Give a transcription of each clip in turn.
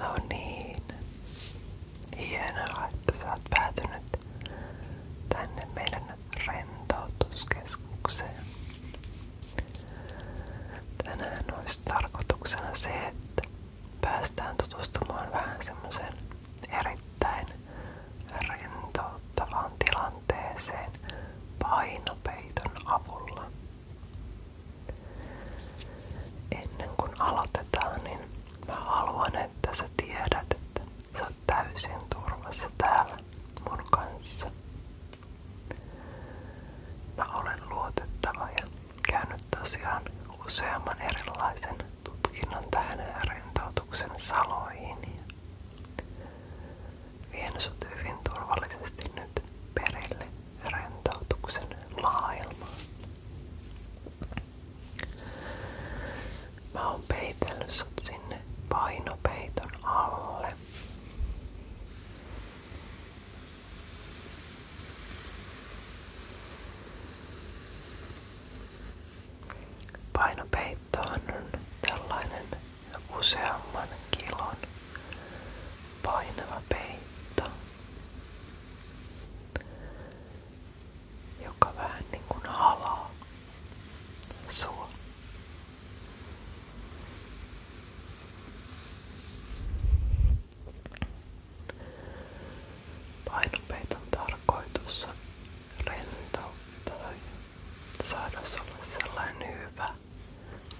No niin. Hienoa, että sä oot päätynyt tänne meidän rentoutuskeskukseen. Tänään olisi tarkoituksena se, että päästään tutustumaan vähän semmoiseen erittäin rentouttavaan tilanteeseen painopeiton avulla. Ennen kuin aloitetaan, niin haluan, että sä tiedät, että täällä mun kanssa. olen luotettava ja käynyt tosiaan useamman erilaisen tutkinnon tähän rentoutuksen saloihin. Vien sut hyvin turvallisesti nyt perille rentoutuksen maailmaan. Mä oon peitellyt sut sinne painopeiton alle. Painopeittohan on tällainen useamman kilon painava peitto, joka vähän niin kuin halaa sua. Painopeiton tarkoitus on rentouttaa saada sulle sellainen hyvä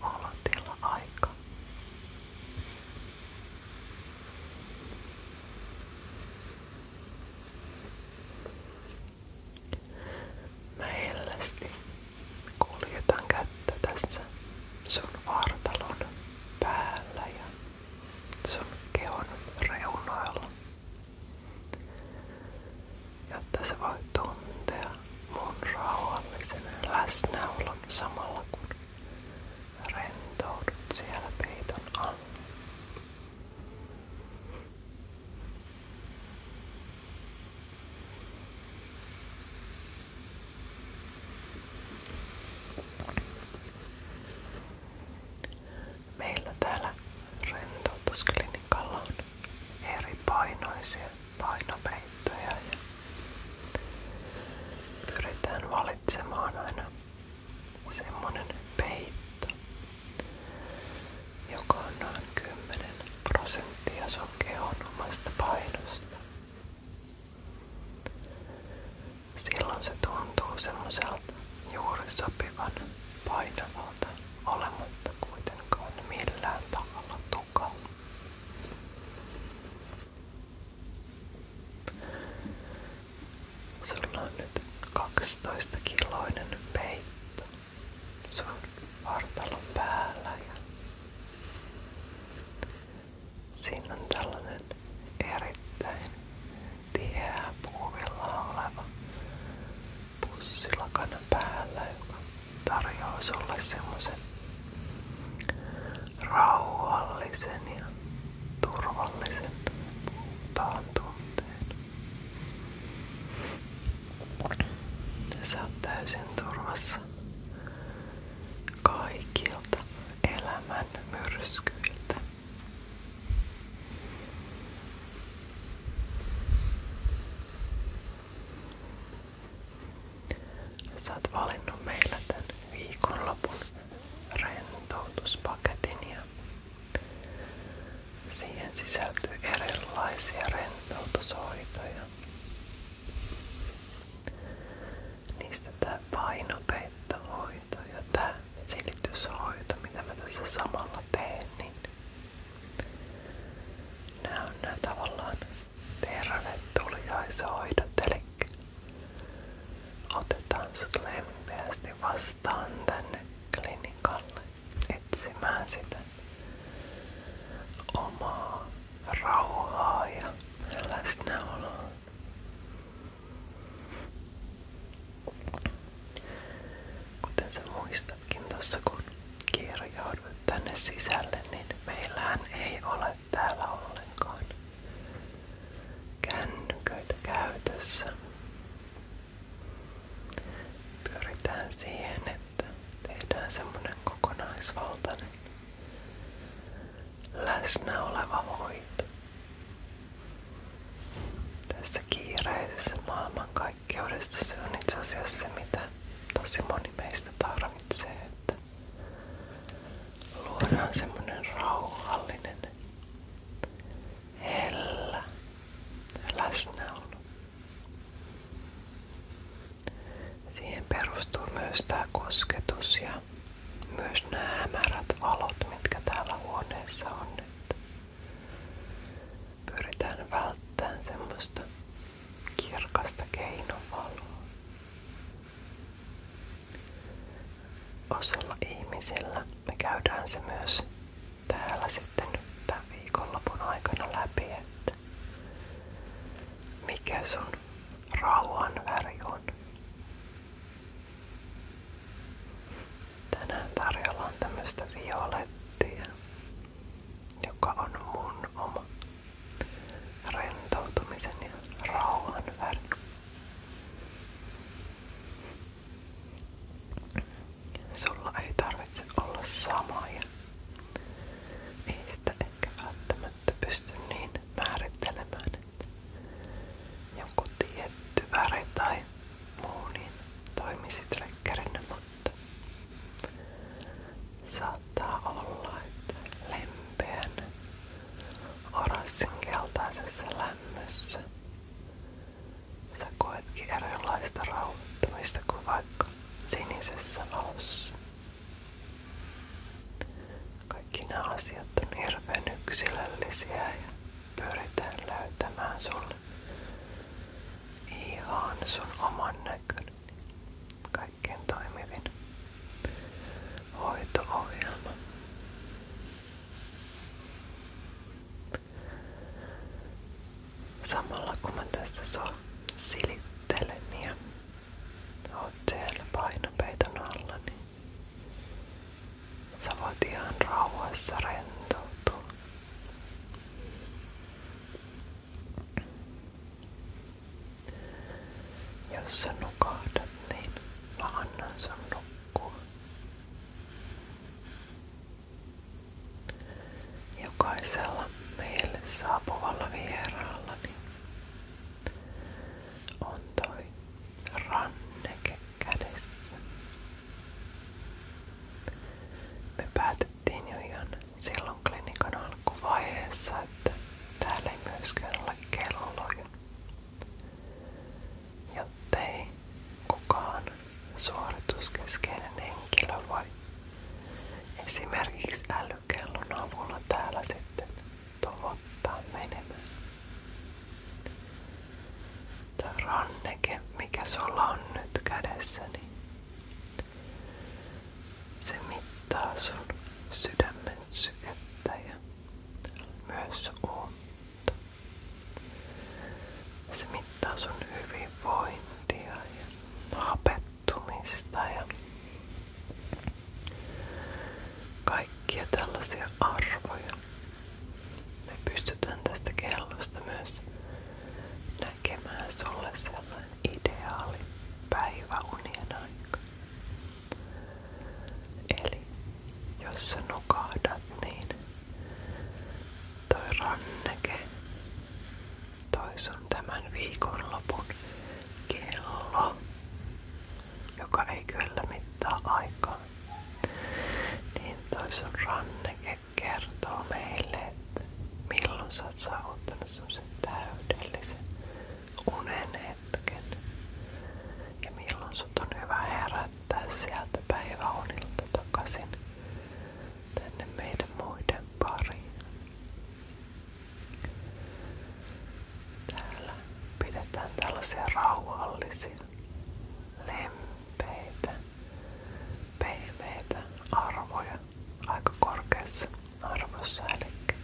olotila aika. Mä hellästi kuljetan tässä sun vartalon päällä ja sun kehon reunoilla, jotta sä voit tuntea mun rauhallisen samalla kun rentoudut siellä Meillä täällä rentoutusklinikalla on eri painoisia painopeittoja ja pyritään semmonen peitto, joka on noin 10 prosenttia sun kehon omasta painosta. Silloin se tuntuu semmoiselta juuri sopivan painavalta olematta kuitenkaan millään tavalla kaukaa. Sulla on nyt 12 kiloinen peitto sun vartalon päällä ja siinä on tällainen erittäin tiheä puuvilla oleva pussilakana päällä, joka tarjoaa sulle semmoisen rauhallisen ja turvallisen puhtaan tunteen. Sä oot täysin turvassa kaikilta elämän myrskyiltä. Sä oot valinnut meillä tän viikonlopun rentoutuspaketin ja siihen sisältyy erilaisia rentoutushoitoja. Niistä tää painopeittohoito ja tää silityshoito, mitä mä tässä samalla teen, niin Nää on nää tavallaan tervetuliaishoidot, eli otetaan sut lempeästi vastaan tänne klinikalle etsimään sitä omaa rauhaa ja läsnäoloa. Kuten sä muistat, päästäkin kun kirjaudut tänne sisälle, niin ei ole täällä ollenkaan kännyköitä käytössä. Pyritään siihen, että tehdään semmonen kokonaisvaltainen läsnä oleva hoito. Tässä kiireisessä maailman kaikkeudesta. Se on itse asiassa se, mitä tosi moni meistä tarvitsee. Että luodaan semmonen rauhallinen, hellä läsnäolo. Siihen perustuu myös tämä kosketus ja myös nämä hämärät valot, mitkä täällä huoneessa on. Pyritään välttämään semmoista kirkasta keinovaloa. Osalla ihmisillä me käydään se myös täällä sitten tämän viikonlopun aikana läpi, että mikä sun rauhan väri on. Tänään tarjolla on tämmöistä violettia joka on mun oma rentoutumisen ja rauhan väri. Sulla ei tarvitse olla samoja. Ei sitä ehkä välttämättä pysty niin tietty väri tai muu niin toimisi triggerinä, mutta mutta saattaa olla, että lempeän oranssin keltaisessa lämmössä sä koetkin erilaista rauhoittumista kuin vaikka sinisessä valossa. Kaikki nämä asiat on hirveän yksilöllisiä ja pyritään löytämään sulle ihan sun oman näköinen. Kaikkein toimivin hoito-ohjelma. Samalla kun mä tässä sua silittelen ja oot siellä painopeiton alla, niin sä voit ihan rauhassa rentoutua jos sä nukahdat, niin mä annan sun nukkua. Jokaisella meille saapuvalla vieraallani niin on toi ranneke kädessä. Me päätettiin jo ihan silloin klinikan alkuvaiheessa, että täällä ei myöskään ole kelloja, jottei kukaan suorituskeskeinen henkilö voi esimerkiksi älykellon avulla täällä sitten tavoittaa menemään. Tämä mikä on nyt kädessäni, se mittaa sun sydämen ja myös uutta. Se mittaa sun hyvinvointia ja hapettumista ja kaikkia tällaisia arvoja me pystytään tästä kellosta näkemään sulle sellainen ideaali päiväunien Eli jos sä nukahdat, niin toi ranneke, toi sun tämän kello, joka ei kyllä mittaa aikaa, niin toi ranneke kertoo milloin sä oot saavuttanut semmoisen unen hetken ja milloin sut on hyvä päiväunilta takaisin tänne meidän muiden pariin. Täällä pidetään tällaisia rauhallisia, lempeitä pehmeitä arvoja aika korkeassa arvossa, eli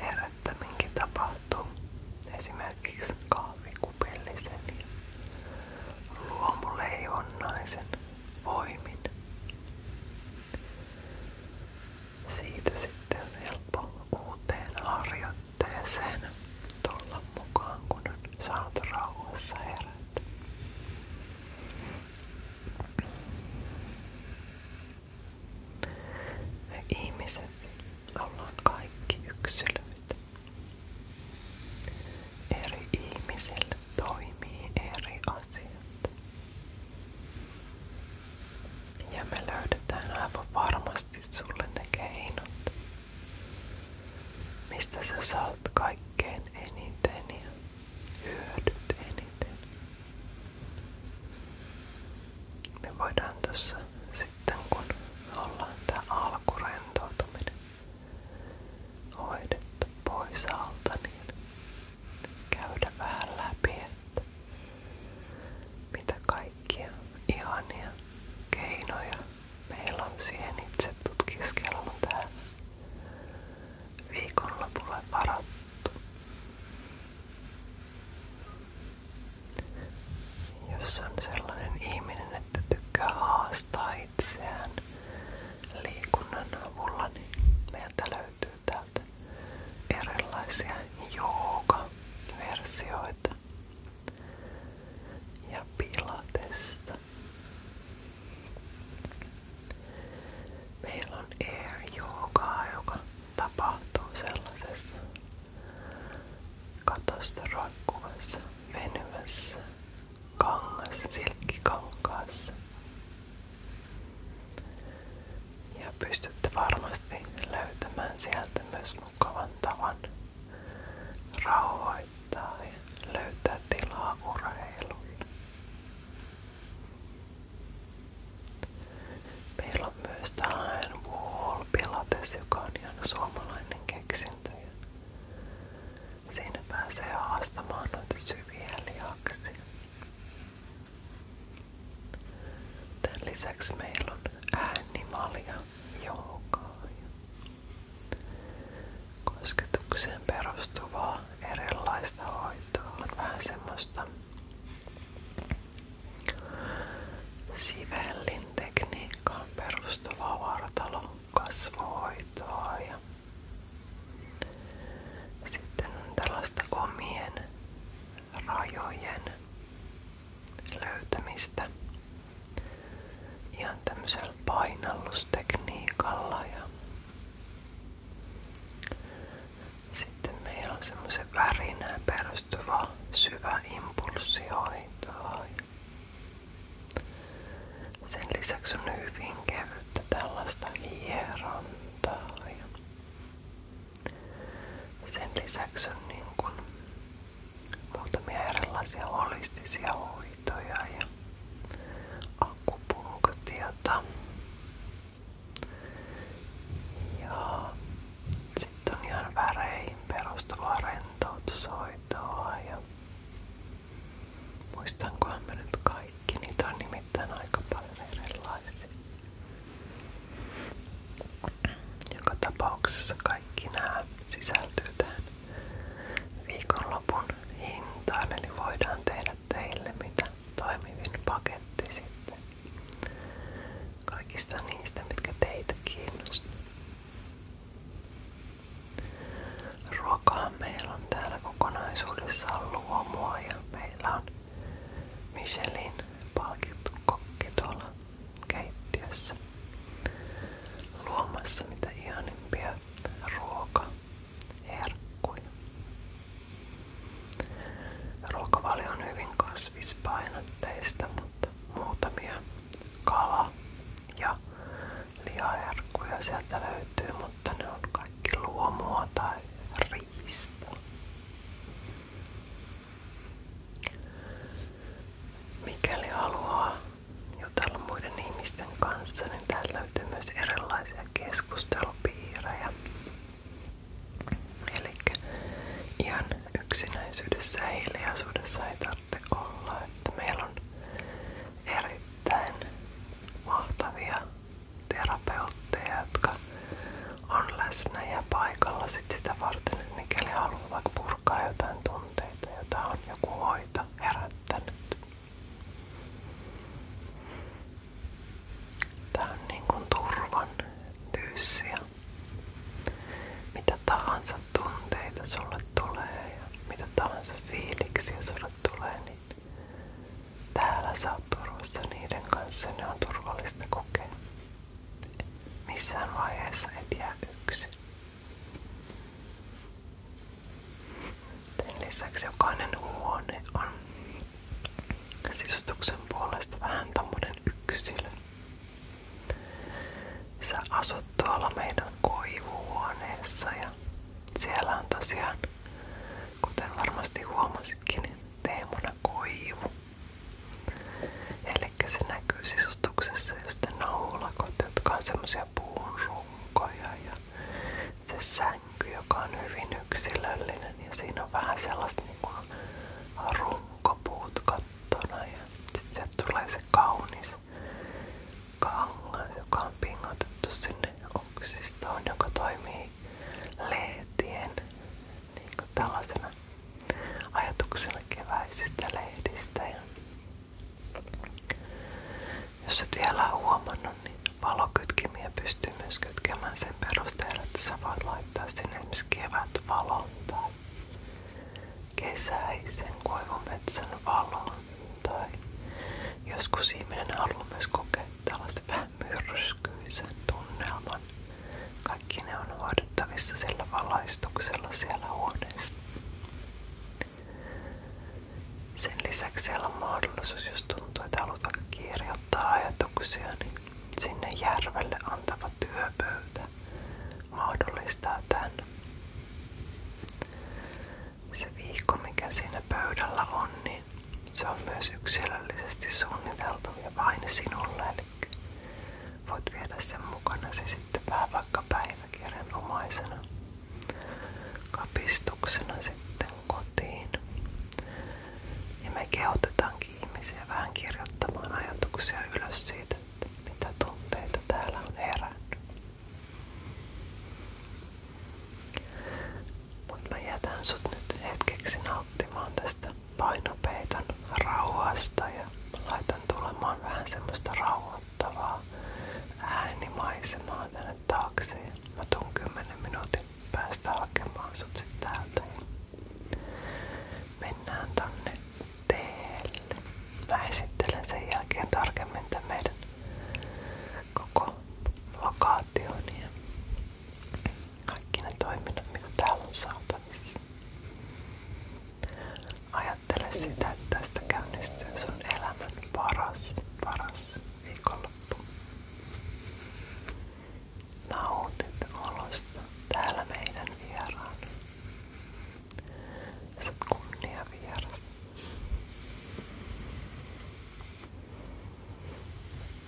herättäminkin tapahtuu esimerkiksi kahvikupillisen ja luomuleijonnaisen voimin. Siitä sitten on helppo uuteen harjoitteluun jättää sen tulla mukaan, kun on saanut rauhassa herätä. Me ihmiset ollaan kaikki yksilöitä. Eri ihmisille toimii eri asiat. Ja me löydetään aivan varmasti sulle ne keinot, Mistä sä saat kaikkein eniten ja hyödyt eniten? Me voidaan tuossa sitten kun ollaan tää alkurentoutuminen hoidettu pois alta, niin käydä vähän läpi, mitä kaikkia ihania keinoja Meillä on itse tutkiskelma täällä viikonlopulle varattu. Jos on sellainen ihminen, että tykkää haastaa liikunnan avulla, niin löytyy täältä erilaisia jooga-versioita asioita Meillä on air joogaa, joka tapahtuu sellaisessa katosta kangas, silkkikankaassa. Ja pystytte varmasti löytämään sieltä myös mukavan tavan rauhoittaa löytää tilaa urheilulle. Meillä on myös tällainen Wall Pilates, joka on ihan suomalainen keksintö. lisäksi meillä on äänimalja, ja joogaa ja kosketukseen perustuvaa erilaista hoitoa on vähän semmoista sivellin tekniikkaan perustuvaa vartalo kasvohoitoa ja sitten on tällaista omien rajojen löytämistä ihan tämmöisellä painallustekniikalla ja sitten meillä on semmoisen värinään perustuva syvä impulssihoitoa. Sen lisäksi on hyvin kevyttä tällaista hierontaa ja sen lisäksi on niin kun muutamia erilaisia holistisia hoitoja ja akupunktiota. Ja sitten on ihan väreihin perustuvaa rentoutushoitoa. Ja muistankohan mä nyt kaikki, niitä on nimittäin aika paljon erilaisia. Joka tapauksessa kaikki nämä sisältyy viikonlopun hintaan, eli voidaan teille mitä toimivin paketti sitten kaikista niistä, mitkä teitä kiinnostaa. Ruokaa meillä on täällä meillä on Michelin palkittu kokki tuolla keittiössä luomassa mitä ihanimpia ruokaherkkuja. Ruokavalio on hyvin kasvispainotteista, mutta muutamia kala- ja lihaherkkuja sieltä löytyy, mutta ne on kaikki luomua tai riista. Mikäli haluaa jutella muiden ihmisten kanssa, niin täältä löytyy myös erilaisia keskustelupiirejä. Eli ihan yksinäisyydessä ja hiljaisuudessa ei tarvitse olla. Että meillä on erittäin mahtavia terapeutteja, jotka on läsnä ja paikalla sit sitä varten, että mikäli haluaa vaikka purkaa jotain tunteita, jota on joku hoito herättänyt. Tää on niin kuin turvan tyyssiä. Mitä tahansa tunteita sulle tulee ja mitä tahansa fiiliksiä sulle tulee, niin täällä sä oot turvassa niiden kanssa, ne on turvallista kokea. Missään vaiheessa et jää yksin. Sen lisäksi jokainen huone on sisustuksen puolesta vähän tommonen yksilö. Sä asut tuolla meidän koivuhuoneessa ja siellä on tosiaan, kuten varmasti huomasitkin, teemana koivu. Elikkä se näkyy sisustuksessa just ne naulakot, jotka on semmosia puun runkoja ja se sänky, joka on hyvin yksilöllinen ja siinä on vähän sellaista niinku runkopuut kattona ja sit sieltä tulee se kaunis kangas, joka on pingotettu sinne oksistoon, joka toimii leetien niin kuin tällaisena ajatuksena keväisistä lehdistä. jos et vielä huomannut, niin valokytkimiä myös kytkemään sen perusteella, että sä voit laittaa sinne esimerkiksi kevätvalon tai valon. Tai joskus ihminen haluaa myös kokea tällaisen vähän myrskyisen Kaikki ne on hoidettavissa sillä valaistuksella siellä huoneessa. Sen lisäksi siellä on mahdollisuus, jos tuntuu, että haluat vaikka kirjoittaa niin sinne järvelle antava työpöytä mahdollistaa Se viikko, mikä siinä pöydällä on, niin näin. Se on myös yksilöllisesti suunniteltu ja vain sinulle. Eli voit viedä sen mukana se sitten vähän vaikka päiväkirjan omaisena kapistuksena sitten kotiin. Ja me kehotetaankin ihmisiä vähän kirjoittamaan ajatuksia ylös siitä, mitä tunteita täällä on mutta mä jätän sut nyt hetkeksi nauttimaan tästä painopeiton rauhasta ja mä laitan tulemaan vähän semmoista rauhoittavaa äänimaisemaa tänne taakse. Ja mä tuun 10 minuutin päästä hakemaan sut sit täältä. Mennään tonne teelle. Mä esittelen sen jälkeen tarkemmin tämän meidän koko lokaation ja kaikki ne toiminnot, mitä täällä on saatavissa. Ajattele sitä, että tästä käynnistyy sun elämän paras, paras viikonloppu. Nautit olosta täällä meidän vieraan. Sä oot kunnia vieras.